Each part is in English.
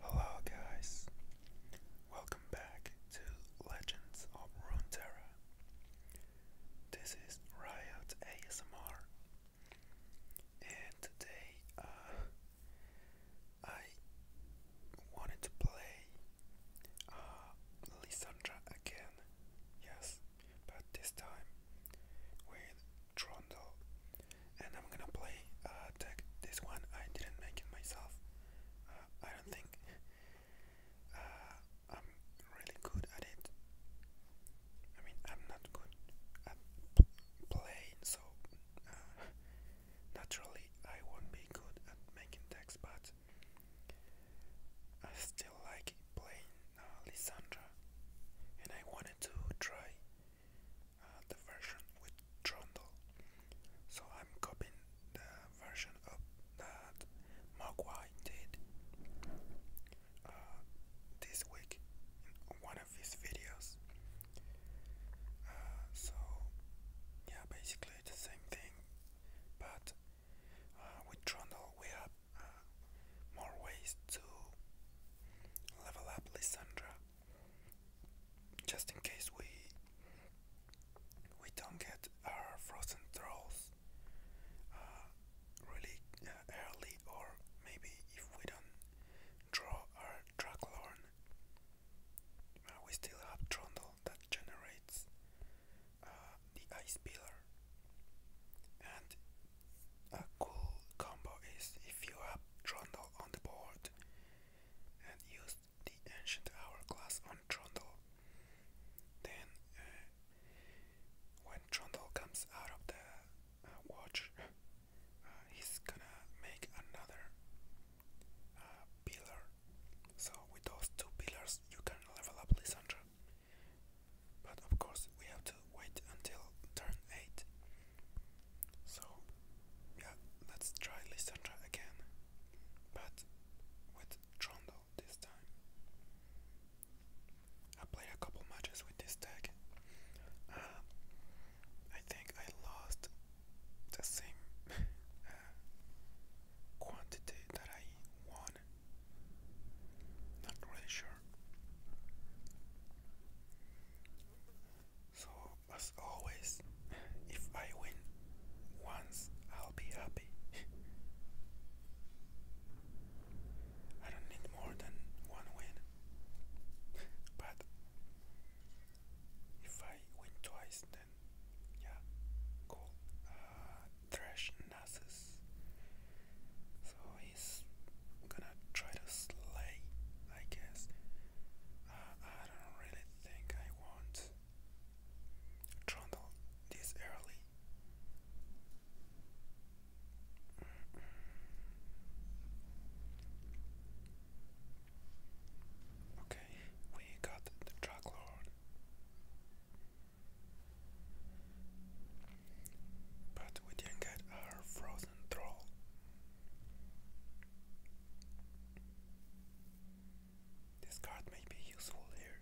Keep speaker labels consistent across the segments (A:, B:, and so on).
A: Hello guys, welcome back to Legends of Runeterra. This is Riot ASMR, and today uh, I wanted to play uh, again, yes, but this time with Trundle and I'm gonna play uh, This one I didn't make it myself. Uh, I don't think uh, I'm really good at it. I mean, I'm not good at playing, so uh, naturally I won't be good at making decks, but I still like playing uh, and I wanted to try uh, the version with Trundle. So I'm copying the version of that Mogwai did uh, this week in one of his videos. Uh, so yeah, basically the same thing, but with Trundle we have more ways to level up Lissandra just in case we we don't get our frozen trolls uh, really uh, early, or maybe if we don't draw our Draglorn, uh, we still have Trundle that generates the Ice Pillar, and a cool combo is if you have Trundle on the board and use the Ancient Hourglass on Trundle. Then, uh, when Trundle comes out of the uh, watch, uh, he's gonna make another pillar. So, with those two pillars, you can level up Lissandra. But of course, we have to wait until turn 8. So, yeah, let's try Lissandra again, but with Trundle this time. I played a couple matches with this deck. Uh, I think I lost the same uh, quantity that I won. Not really sure. So, as always, if I win once, I'll be happy. I don't need more than one win, but if I win twice, then yeah, cool. Uh, trash Nasus so he's gonna try to slay, I guess. Uh, I don't really think I want Trundle this early. Okay, we got the drug lord. But we didn't get our frozen troll. This card may be useful here.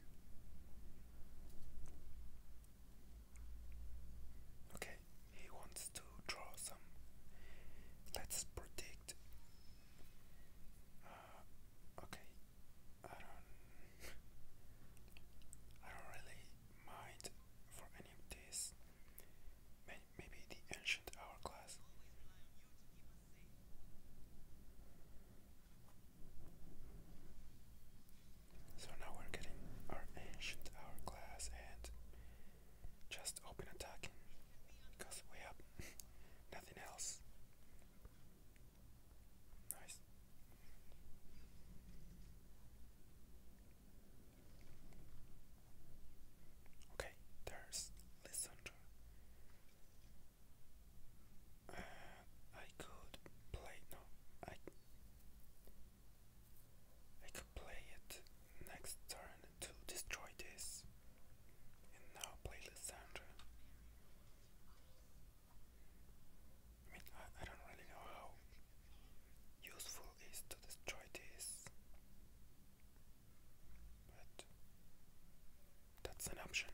A: Okay, he wants to draw some. Let's predict. Uh, okay, I don't. I don't really mind for this. maybe the ancient hourglass. So now we're getting our ancient hourglass and just open attacking because we have nothing else. Nice. Okay, there's Lissandra. Uh, I could play no, I I could play it next turn to destroy this, and now play Lissandra. I mean, I, I don't really know how useful is to destroy this, but that's an option.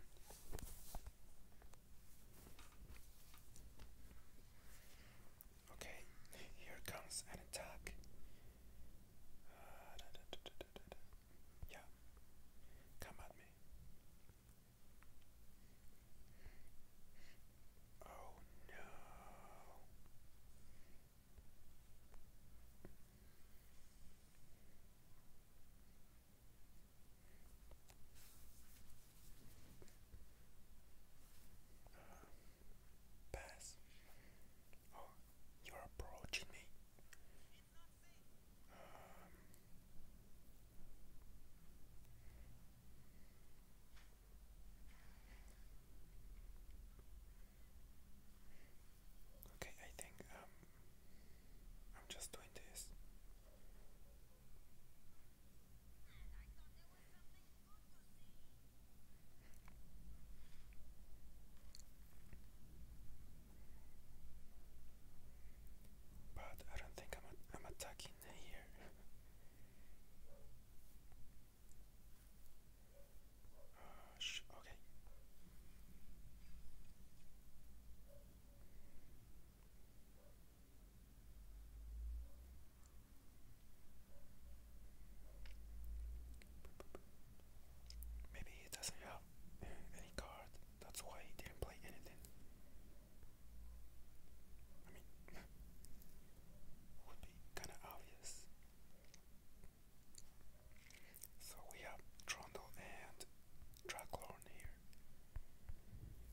A: Okay, here comes an attack. Uh, yeah, come at me. Oh no. pass. Oh, you're approaching me. Um, Okay, I think um, I'm just doing this. But I don't think I'm, I'm attacking here. Shh. okay. Maybe he doesn't have any card, that's why he didn't play anything would be kind of obvious. So we have Trundle and Draglorn here.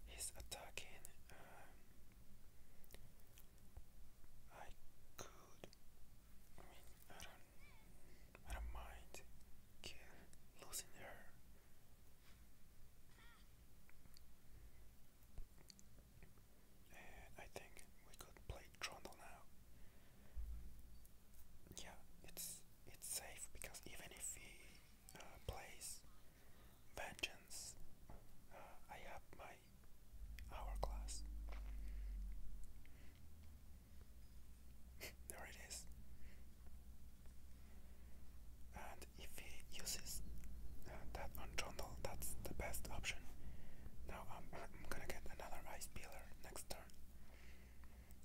A: He's attacking. Um, I could. I mean, I don't. I don't mind losing her. I think we could play Trundle now. Yeah, it's it's safe because even if he uh, plays Vengeance, uh, I have my hourglass. there it is. And if he uses uh, that on that's the best option. Now I'm, gonna get another ice peeler next turn.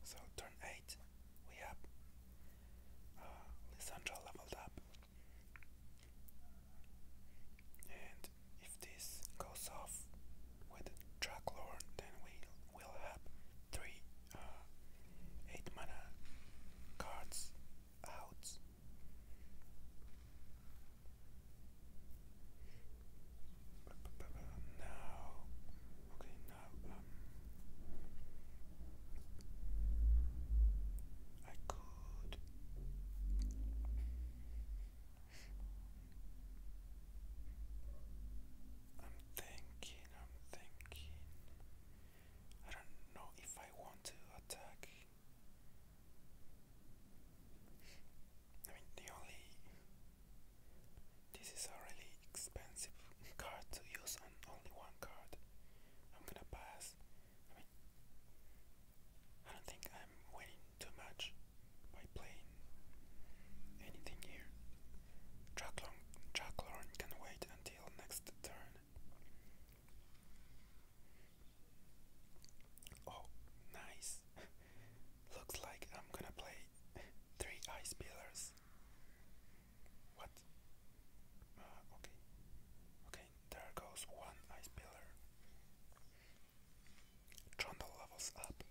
A: So turn 8, we have uh, Lissandra leveled up. And if this goes off with Draglord, then we will have three uh, 8 mana cards out. Now, okay, now I could. I'm thinking. I'm thinking. I don't know if I want to attack I mean, the only this is a really expensive card to use on only one card. I'm gonna pass. I mean, I don't think I'm winning too much by playing anything here. Draklorn, Draklorn can wait until next turn. Oh, nice. Looks like I'm gonna play three ice pillars. What? Uh, okay. Okay, there goes one ice pillar. Trundle levels up.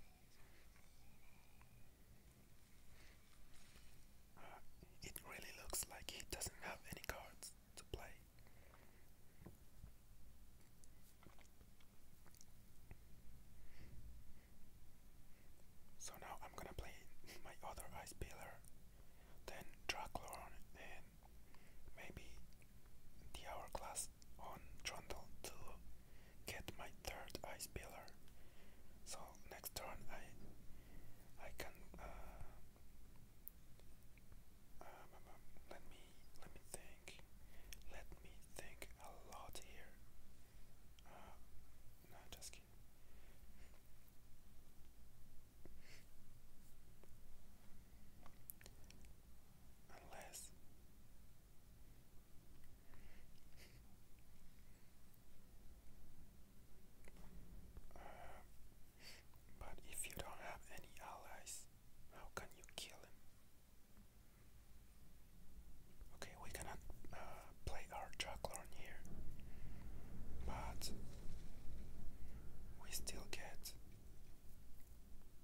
A: Uh, it really looks like he doesn't have any cards to play. So now I'm gonna play my other ice pillar, then Draclorn, and maybe the hourglass on Trundle to get my third ice pillar. So next turn I I can uh, um, um, let me let me think. Let me think a lot here. Uh, just Unless. But if you don't have any allies, how can you kill him? Okay, we cannot uh, play our Jacklorn here, but we still get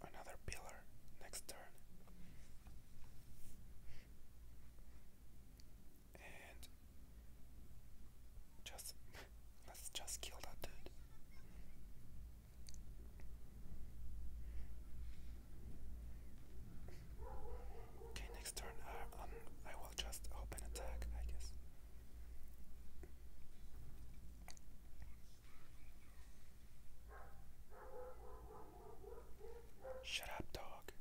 A: another pillar next turn. And just let's just kill that dude. Okay, next turn uh, um, I will just open attack, I guess. Shut up, dog.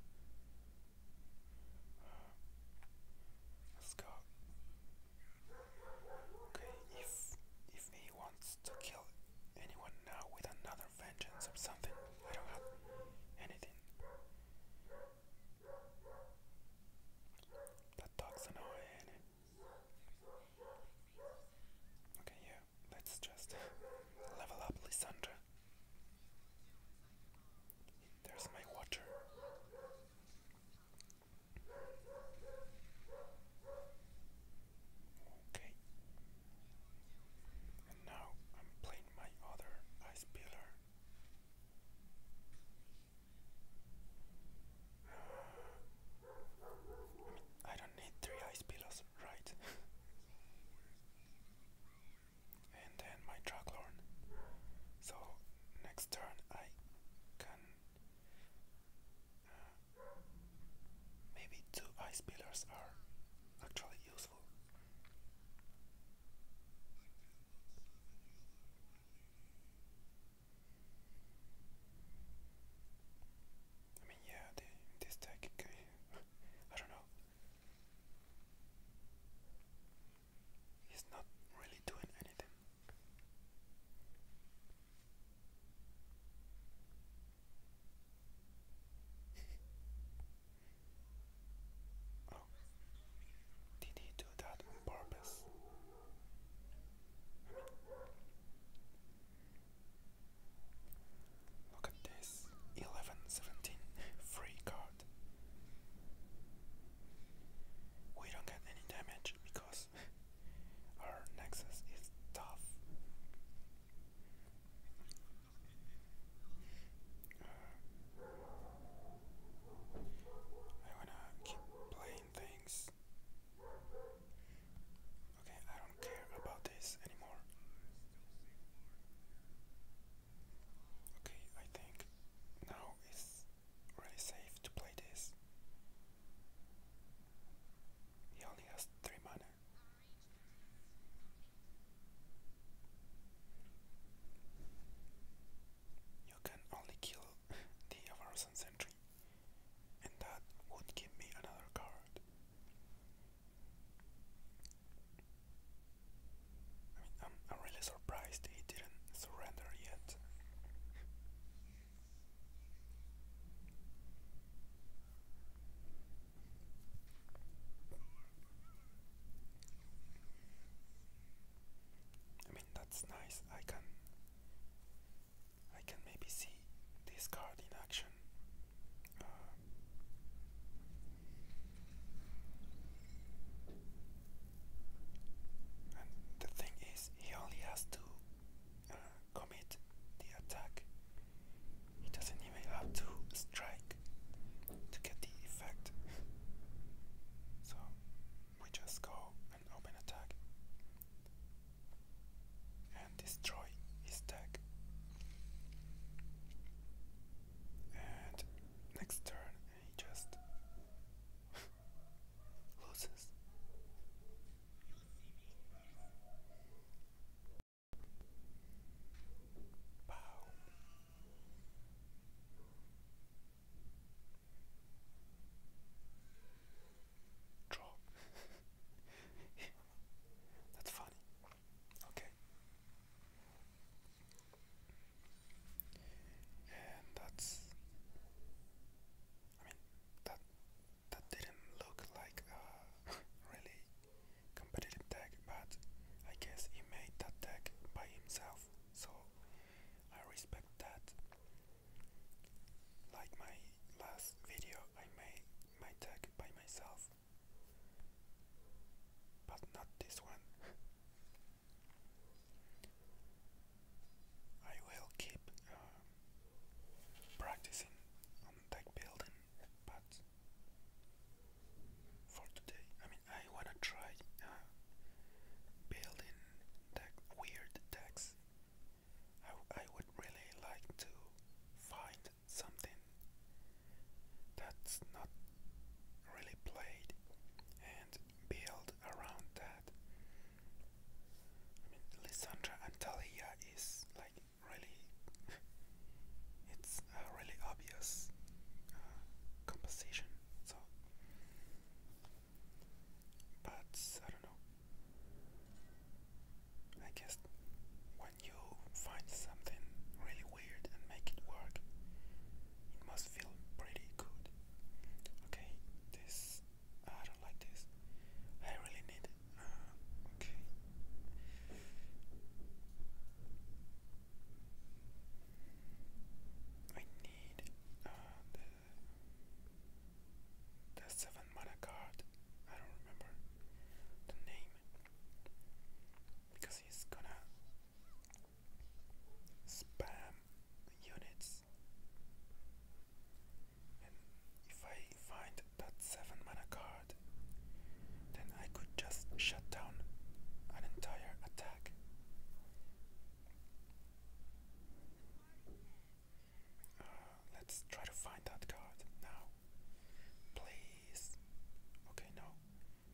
A: Uh, let's go. Okay, if if he wants to kill anyone now with another vengeance or something, I don't have anything. That dog's annoying. Okay, yeah, let's just level up Lysandra. There's my watcher. Okay. And now I'm playing my other ice pillar. I, don't need three ice pillars, right? and then my draglorn. So next turn I can uh, maybe two ice pillars are actually useful. I mean, yeah, this deck, I don't know. He's not really doing anything. Oh. Did he do that on purpose? look at this 11 free card. We don't get any damage because our Nexus is tough. Uh, I wanna keep playing things. Okay, I don't care about this anymore. Okay, I think now is really safe to play this. He only has 3 mana. You can only kill the Avarosan Sentry, and that would give me another card. I am I'm surprised he didn't surrender yet. I mean that's nice. I can I can maybe see this card in action. Uh, the thing is, he only has to uh, commit the attack. He doesn't even have to strike to get the effect. so we just go and open attack and destroy his deck. And next turn he just loses. Wow. Drop. That's funny. Okay. And that's I mean that that didn't look like a really competitive deck, but I guess he made that deck by himself, so I respect that. Like my last video, I made my deck by myself, but not this one. I will keep um, practicing deck building, but for today, I mean, I wanna try uh, building deck, weird decks. I, I would really like to find something that's not really played and build around that. I mean, Lissandra and Talia is like really, it's a really obvious uh, composition. So, but I don't know. I guess when you find something really weird and make it work, it must feel pretty good. Okay, this I don't like this. I really need it. Uh, okay. I need uh, the the seven mana card. I don't remember the name because he's gonna spam units if I find that 7 mana card then I could just shut down an entire attack uh, let's try to find that card now please okay no I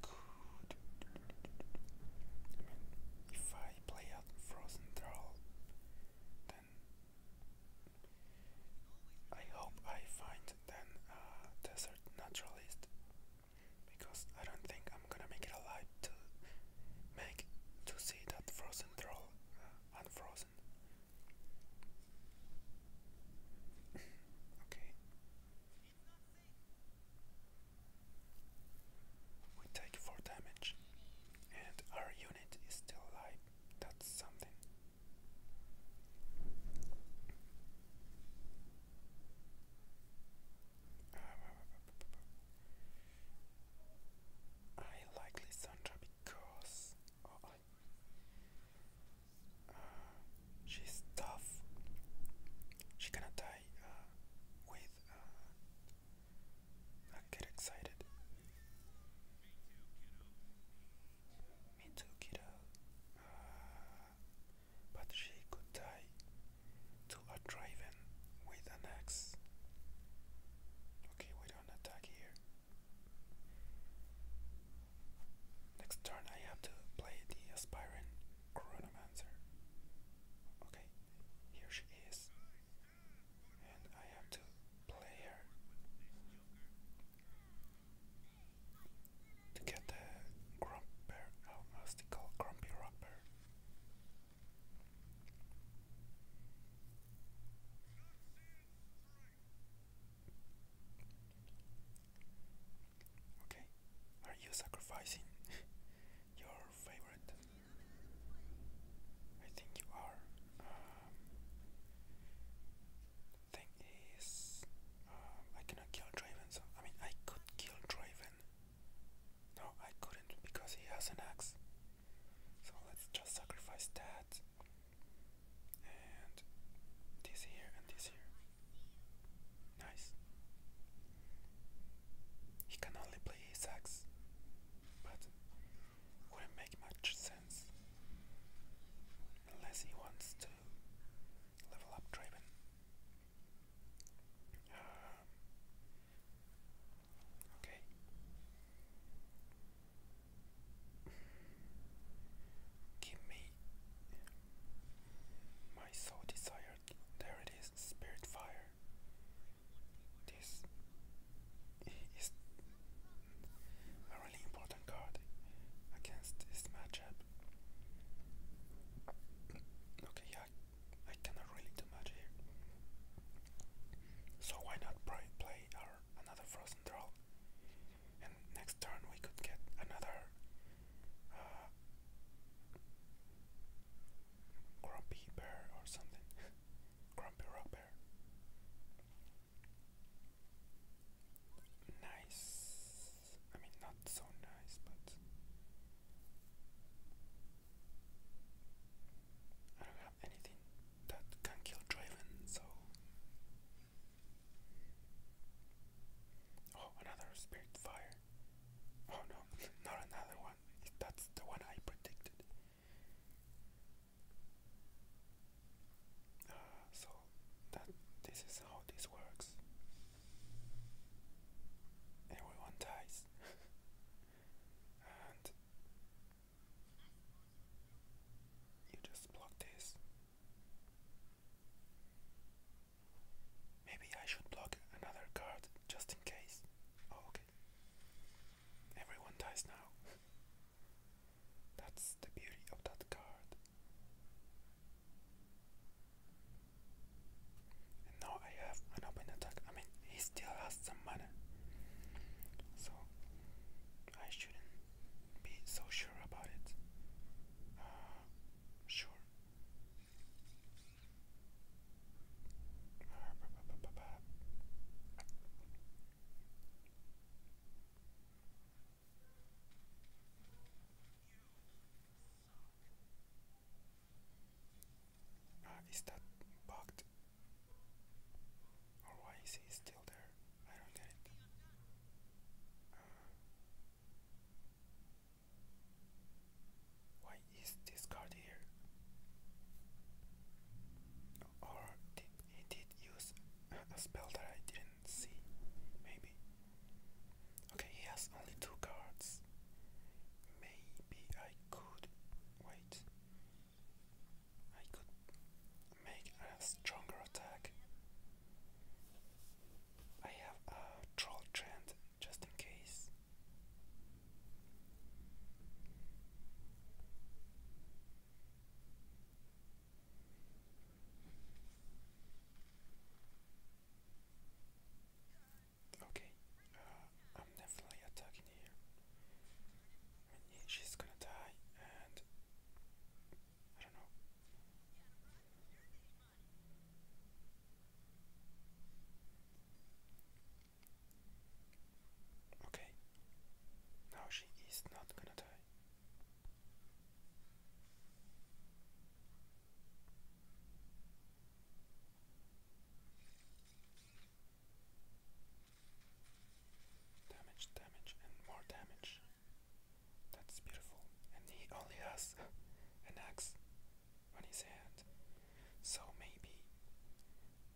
A: could. I mean, if I play out Frozen Thrall, then I hope I find then a desert naturalist because I don't think I'm gonna make it alive to make to see that frozen troll uh, unfrozen. Okay. We take 4 damage, and our unit is still alive. That's something. I likely Sandra because oh, uh, she's tough. She gonna die uh, with. Uh, I get excited. Me too, kiddo. Uh, but she could die to a drive with an axe. Okay, we don't attack here. Next turn I have to play the Aspiring Chronomancer. Okay, here she is. And I have to play her to get the Grumper, how must call Grumpy Rockbear. Okay, are you sacrificing your favorite? I think you are. Um, thing is, um, I cannot kill Draven. So I mean, I could kill Draven. No, I couldn't because he has an axe. So let's just sacrifice that and this here and this here. Nice. He can only play sax, but wouldn't make much sense unless he wants to level up Draven. Um, okay. Give me my soul desire. There it is, spirit fire. This is a really important card against this matchup. Okay, yeah, I cannot really do much here. So why not play our another frozen troll? and next turn we could get another uh, grumpy bear or something. grumpy rock Nice. I mean, not so nice, but I don't have anything that can kill Draven, so Oh, another spirit fire. Oh no, not another one. That's the one I predicted. Uh, so that this is how this works. Everyone dies, and you just block this Maybe I should block another card just in case. Oh, okay. Everyone dies now. That's the beauty of that card. now I have an open attack. I mean, he still has some mana. So I shouldn't be so sure about it. Uh, sure. Uh, is that bugged? Or why is he still there? I don't get it. Uh, why is this card here? Or did he did use a spell that I didn't see? Maybe. Okay, he has only two cards. Maybe I could wait. I could make a stronger attack. I have a troll trend just in case. Okay, uh, I'm definitely attacking here. she's gonna die, and Okay. Now she is not gonna die. Damage, damage, and more damage. That's beautiful. And he only has an axe on his hand. So maybe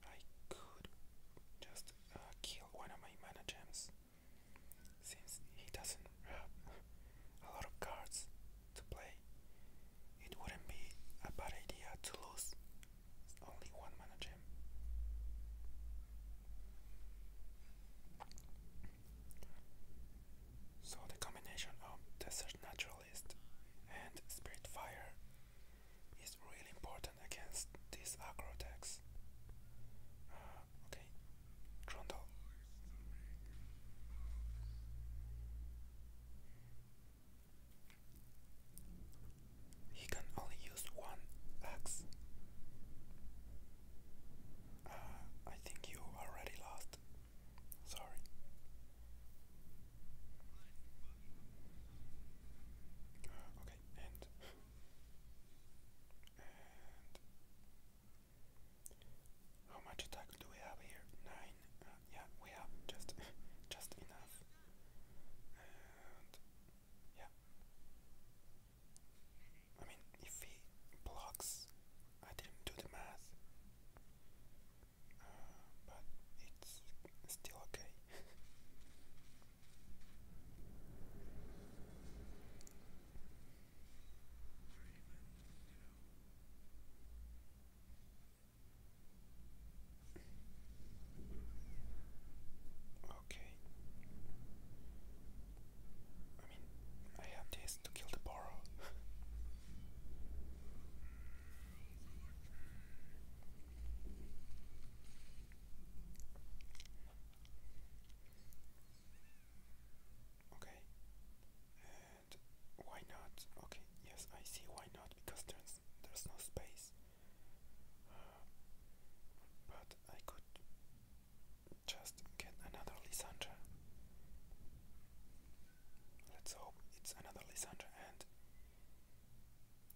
A: I could just uh, kill one of my mana gems since he doesn't have a lot of cards to play. It wouldn't be a bad idea to lose only one manager. gem. So the combination of Desert Naturalist and Spirit Fire is really important against these acro attacks. Uh, okay, Grundle. He can only use one axe. Uh, think you already lost. Sorry. okay, and how much attack do we have here? Nine. Uh, yeah, we have just just enough. yeah. I mean, if he blocks, I didn't do the math, uh, but it's still okay. Okay. I mean, I have this to kill the borrow. okay. And why not? Okay, yes, I see why not because there's there's no space. Uh, but I could just get another Lissandra. Let's hope it's another Lissandra and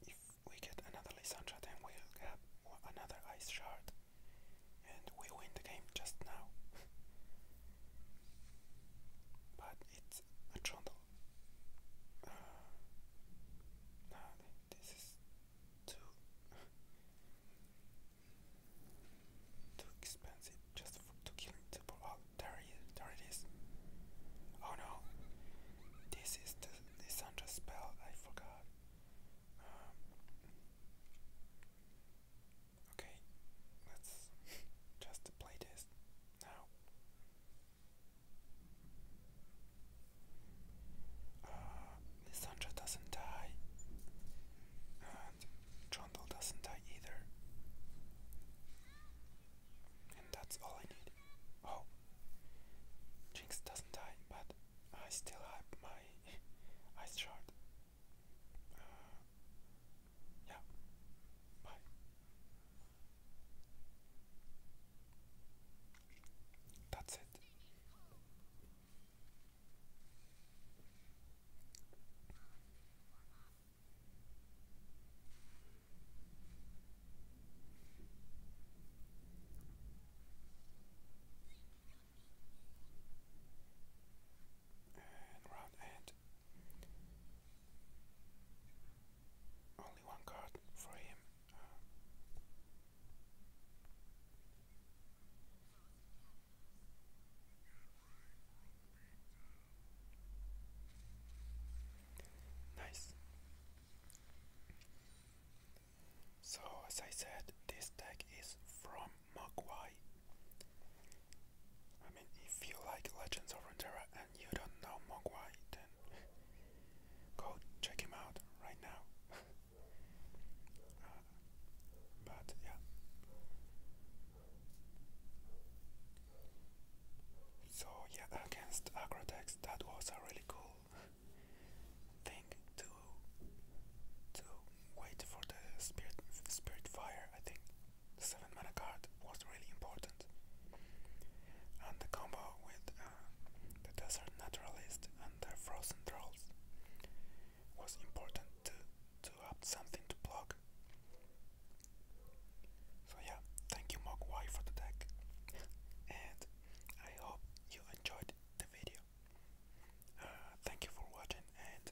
A: if we get another Lissandra then we'll have another ice shard and we win the game just now. but it's a trundle. Uh, no, this is too too expensive just for to killing two people. Oh, no, this is the the Sandra spell. I forgot. Um, okay, let's just play this now. Uh, doesn't die, Trundle doesn't die either. And that's all I need. Oh, Jinx doesn't die, but I still have my ice shard. Uh, yeah, bye. That's it. And round end. Only one card for him. Nice. So, as I said, this deck is from Mogwai. I mean, if you like Legends of Runeterra and you don't know Mogwai, then go check him out right now. but yeah, so yeah, against Agrotex, that was a really cool thing to to wait for the spirit spirit fire. I think the seven mana card was really important, and the combo with uh, the desert naturalist and the frozen trolls. was important to, to have something to block. So yeah, thank you Mogwai for the deck and I hope you enjoyed the video. Uh, thank you for watching and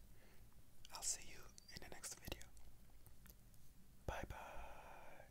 A: I'll see you in the next video. Bye bye.